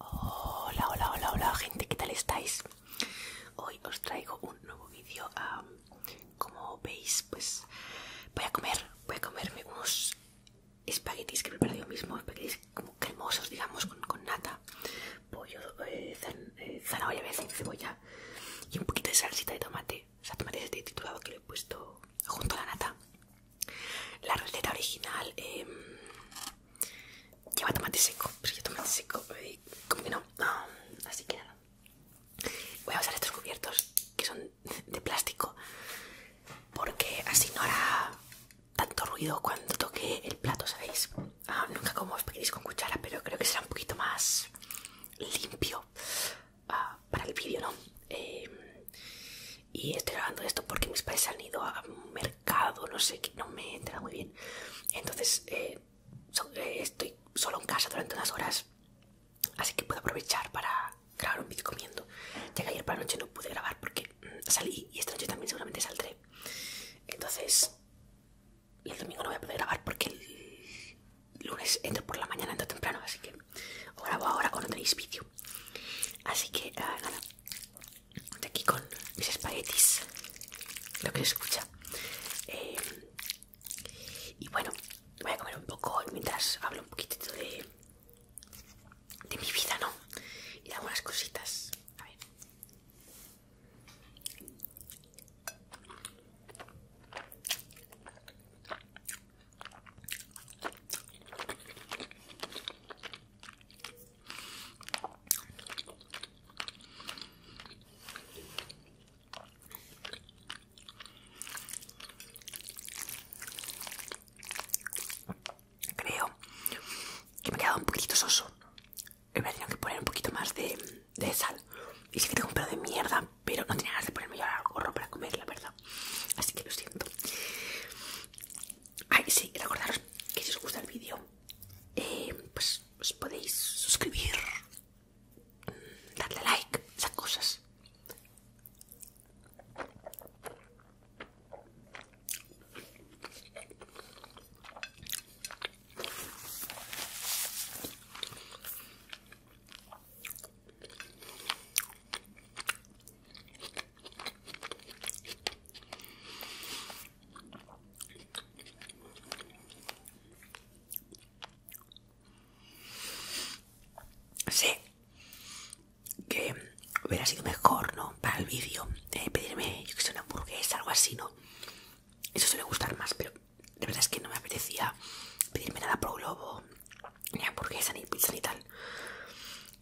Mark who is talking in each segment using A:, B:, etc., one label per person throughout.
A: Hola, hola, hola, hola gente, ¿qué tal estáis? Hoy os traigo un nuevo vídeo. como veis, pues voy a comer, voy a comerme unos espaguetis que he preparado yo mismo, espaguetis como cremosos, digamos, con, nata, pollo, eh, eh a zanahoria, cebolla y un poquito de salsita de tomate. O sea, tomate titulado que le he puesto junto a la nata. La receta original em, lleva tomate seco, pero yo tomate seco, eh, como que no. así que nada. Voy a usar estos cubiertos que son de plástico porque así no hará tanto ruido cuando toque el plato, ¿sabéis? Ah, nunca como espaguetis con cuchara, pero creo que será un poquito más limpio ah, para el vídeo, ¿no? Em, y estoy grabando esto porque mis padres se han ido a un mercado, no sé, que no me entra muy bien. Entonces eh, eh, estoy solo en casa durante unas horas, así que puedo aprovechar para grabar un vídeo comiendo. Ya ayer para la noche no pude grabar porque mm, salí y esta noche también seguramente saldré. Entonces, el domingo no voy a poder grabar porque el lunes entro por la mañana, entro temprano, así que o grabo ahora cuando tenéis vídeo. Así que ah, nada, de aquí con mis espaguetis, lo que se escucha. Eh, y bueno, voy a comer un poco mientras hablo un poquitito de, de mi vida, ¿no? Y de algunas cositas. A ver. Creo que me ha quedado un poquito soso. Me tenido que poner un poquito más de, sal. Y sí que tengo un pelo de mierda, pero no tenía ganas de ponerme yo al gorro para comer, la verdad. Así que lo siento. Ay, sí, recordaros que si os gusta el vídeo, eh, pues os podéis suscribir, mm, darle like, esas cosas. Sé que hubiera sido mejor, ¿no? Para el vídeo, eh, pedirme, yo que sé, una hamburguesa, algo así, ¿no? Eso suele gustar más, pero de verdad es que no me apetecía pedirme nada pro globo, ni hamburguesa, ni pizza, ni tal.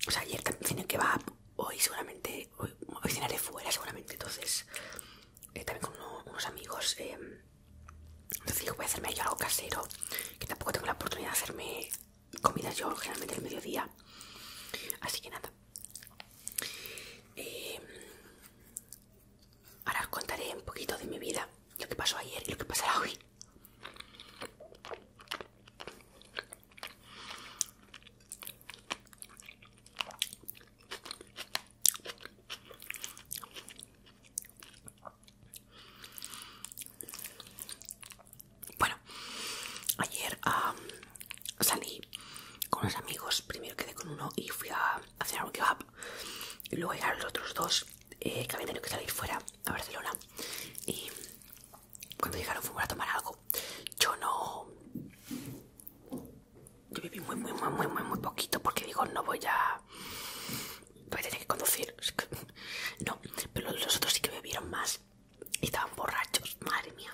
A: O sea, ayer también que va hoy seguramente, hoy, cenaré fuera seguramente, entonces, eh, también con unos amigos. Eh, entonces digo, voy a hacerme algo casero, que tampoco tengo la oportunidad de hacerme Comida yo generalmente al mediodía. Así que nada. Eh, ahora os contaré un poquito de mi vida, lo que pasó ayer y lo que pasará hoy. Bueno, ayer salí con los amigos, primero quedé con uno y fui a hacer algo que y luego llegaron los otros dos eh, que habían tenido que salir fuera a Barcelona. Y cuando llegaron fuimos a tomar algo. Yo no... Yo viví muy, muy, muy, muy, muy, muy poquito porque digo, no voy a... Voy a tener que conducir. No, pero los otros sí que bebieron más. Y estaban borrachos, madre mía.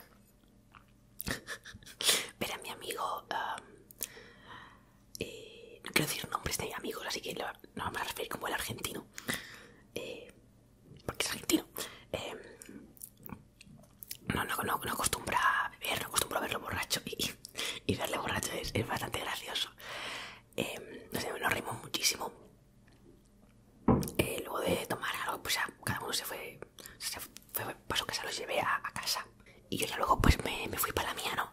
A: pero mi amigo... Um, eh, no quiero decir nombres de amigos, así que no vamos a referir como el argentino, eh, porque es argentino. Eh, no, no, no, no acostumbra a beber, no acostumbra a verlo borracho y, verle borracho es, bastante gracioso. nos reímos muchísimo. luego de tomar algo, pues cada uno se fue, fue, pasó que se los llevé a, casa. Y yo ya luego pues me fui para la mía, ¿no?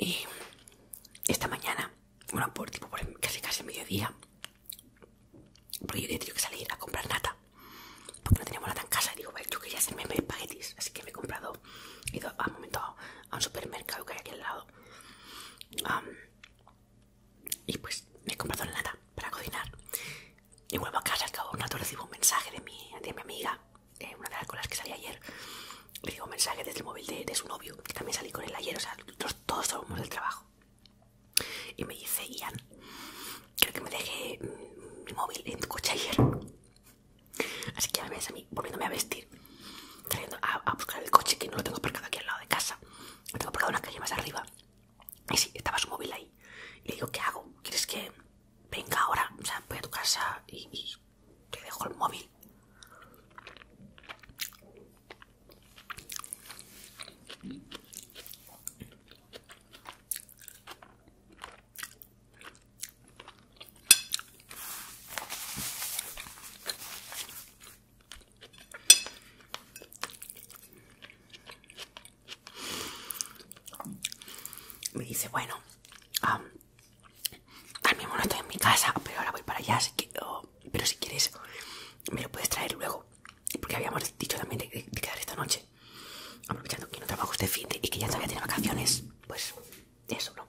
A: Y esta mañana, bueno, por tipo por casi casi mediodía, porque yo tenía que salir a comprar nata, porque no teníamos nata en casa. Y digo, vale, yo quería hacerme paquetis así que me he comprado, he ido a un a un supermercado que hay aquí al lado. y pues me he comprado la nata para cocinar y vuelvo a casa al cabo de un rato recibo un mensaje de mi, de mi amiga eh, una de las las que salí ayer Le digo un mensaje desde el móvil de, su novio que también salí con él ayer o sea los, todos somos del trabajo y me dice Ian creo que me dejé mm, mi móvil en tu coche ayer así que ya me ves a mí volviéndome a vestir trayendo a, a buscar el coche que no lo tengo aparcado aquí al lado de casa lo tengo aparcado en una calle más arriba y sí, estaba su móvil ahí. Y le digo, ¿qué hago? ¿Quieres que venga ahora? O sea, voy a tu casa y te dejo el móvil. Me dice, bueno, al mismo no estoy en mi casa, pero ahora voy para allá, así que, pero si quieres, me lo puedes traer luego. Porque habíamos dicho también de, quedar esta noche. Aprovechando que no trabajo este fin y que ya todavía tiene vacaciones, pues eso, ¿no?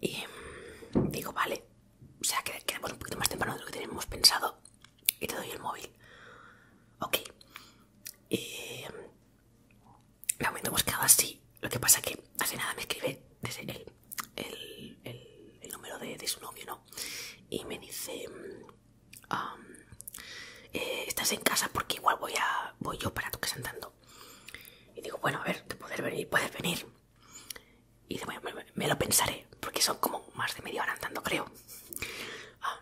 A: Y digo, vale, o sea, que quedamos un poquito más temprano de lo que tenemos pensado y te doy el móvil. Ok. Eh, la momento buscaba así. Lo que pasa que hace nada me escribe el, número de, su novio, ¿no? Y me dice... Eh, estás en casa porque igual voy a voy yo para tu casa andando. Y digo, bueno, a ver, te puedes venir. Y me, lo pensaré, porque son como más de media hora andando, creo. Ah,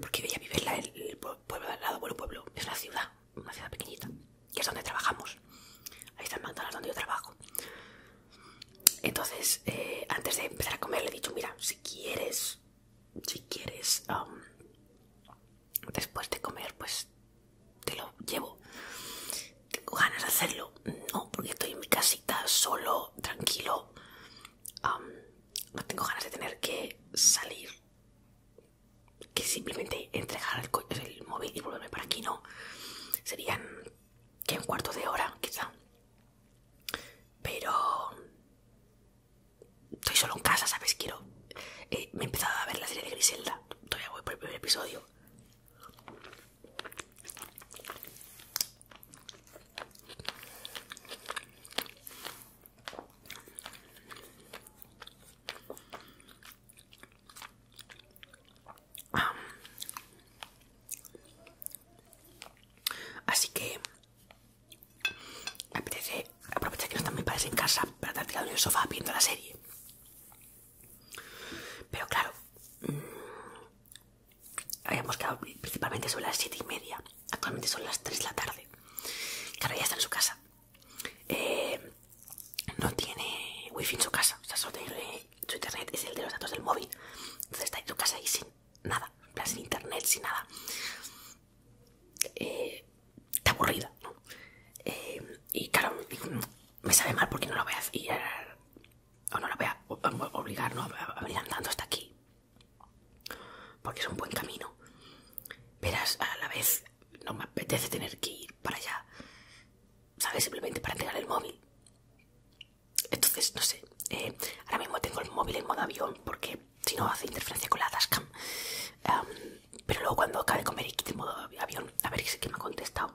A: porque veía vivirla el, pueblo al lado, el pueblo, es una ciudad, una ciudad pequeñita, que es donde trabajamos. Ahí está el McDonald's donde yo trabajo. Entonces, eh, antes de empezar a comer, le he dicho, mira, si quieres, si quieres, después de comer, pues te lo llevo tengo ganas de hacerlo, no, porque estoy en mi casita, solo, tranquilo. no tengo ganas de tener que salir, que simplemente entregar el, móvil y volverme para aquí, no. Serían que en cuarto de hora, quizá. Pero estoy solo en casa, ¿sabes? Quiero. Eh, me he empezado a ver la serie de Griselda. Todavía voy por el primer episodio. Así que apetece aprovechar que no están mis padres en casa para estar la el sofá viendo la serie. Pero claro, mm, habíamos quedado principalmente sobre las 7 y media. Actualmente son las 3 de la tarde. Claro, ya está en su casa. Eh, no tiene wifi en su casa. O sea, solo tiene eh, su internet, es el de los datos del móvil. Entonces está en su casa y sin nada. En plan, sin internet, sin nada. Eh, está aburrida, ¿no? y claro, me sabe mal porque no lo voy a eh, o no lo voy a obligar a venir andando hasta aquí porque es un buen camino verás a la vez no me apetece tener que ir para allá sabes simplemente para entregar el móvil entonces no sé eh, ahora mismo tengo el móvil en modo avión porque si no hace interferencia con la dashcam pero luego cuando acabe de comer y quite en modo avión a ver si que me ha contestado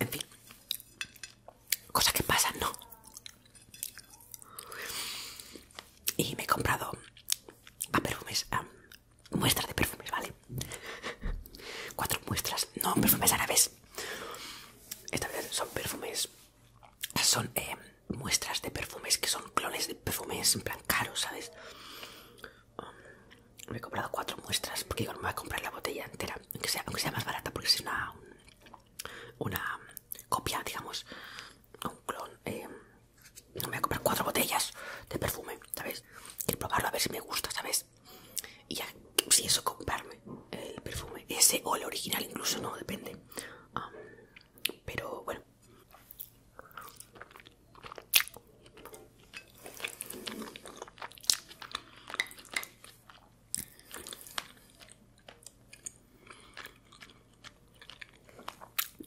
A: En fin, cosas que pasan, ¿no? Y me he comprado a perfumes. mes muestras de perfumes, ¿vale? Cuatro muestras, no perfumes árabes. Esta vez son perfumes, son eh, muestras de perfumes que son clones de perfumes en plan caros, ¿sabes? Um, me he comprado cuatro muestras porque digo, no me voy a comprar la botella entera, aunque sea, sea más barata, porque es una, una copia, digamos, un clon. Eh, me voy a comprar cuatro botellas de perfume, ¿sabes? Quiero probarlo a ver si me gusta, ¿sabes? Y ya, si eso, comprarme el perfume, ese o el original, incluso no, depende. pero bueno.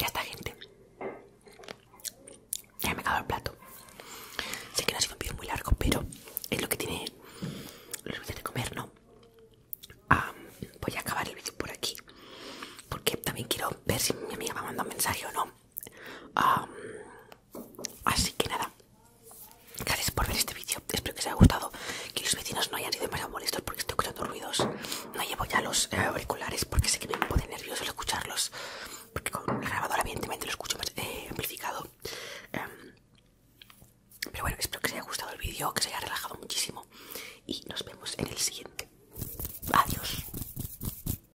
A: Ya está, gente. Ya me he acabado el plato. Sé que no ha sido un vídeo muy largo, pero es lo que tiene los vídeos de comer, ¿no? voy a acabar el vídeo por aquí. Porque también quiero ver si mi amiga va a mandar un mensaje o no. Así que nada, gracias por ver este vídeo. Espero que os haya gustado. Que los vecinos no hayan sido demasiado molestos porque estoy escuchando ruidos. No llevo ya los eh, auriculares porque sé que me pone nervioso al escucharlos. Porque con el grabador evidentemente, lo escucho más eh, amplificado. Em, pero bueno, espero que os haya gustado el vídeo, que os haya relajado muchísimo. Y nos vemos en el siguiente. Adiós.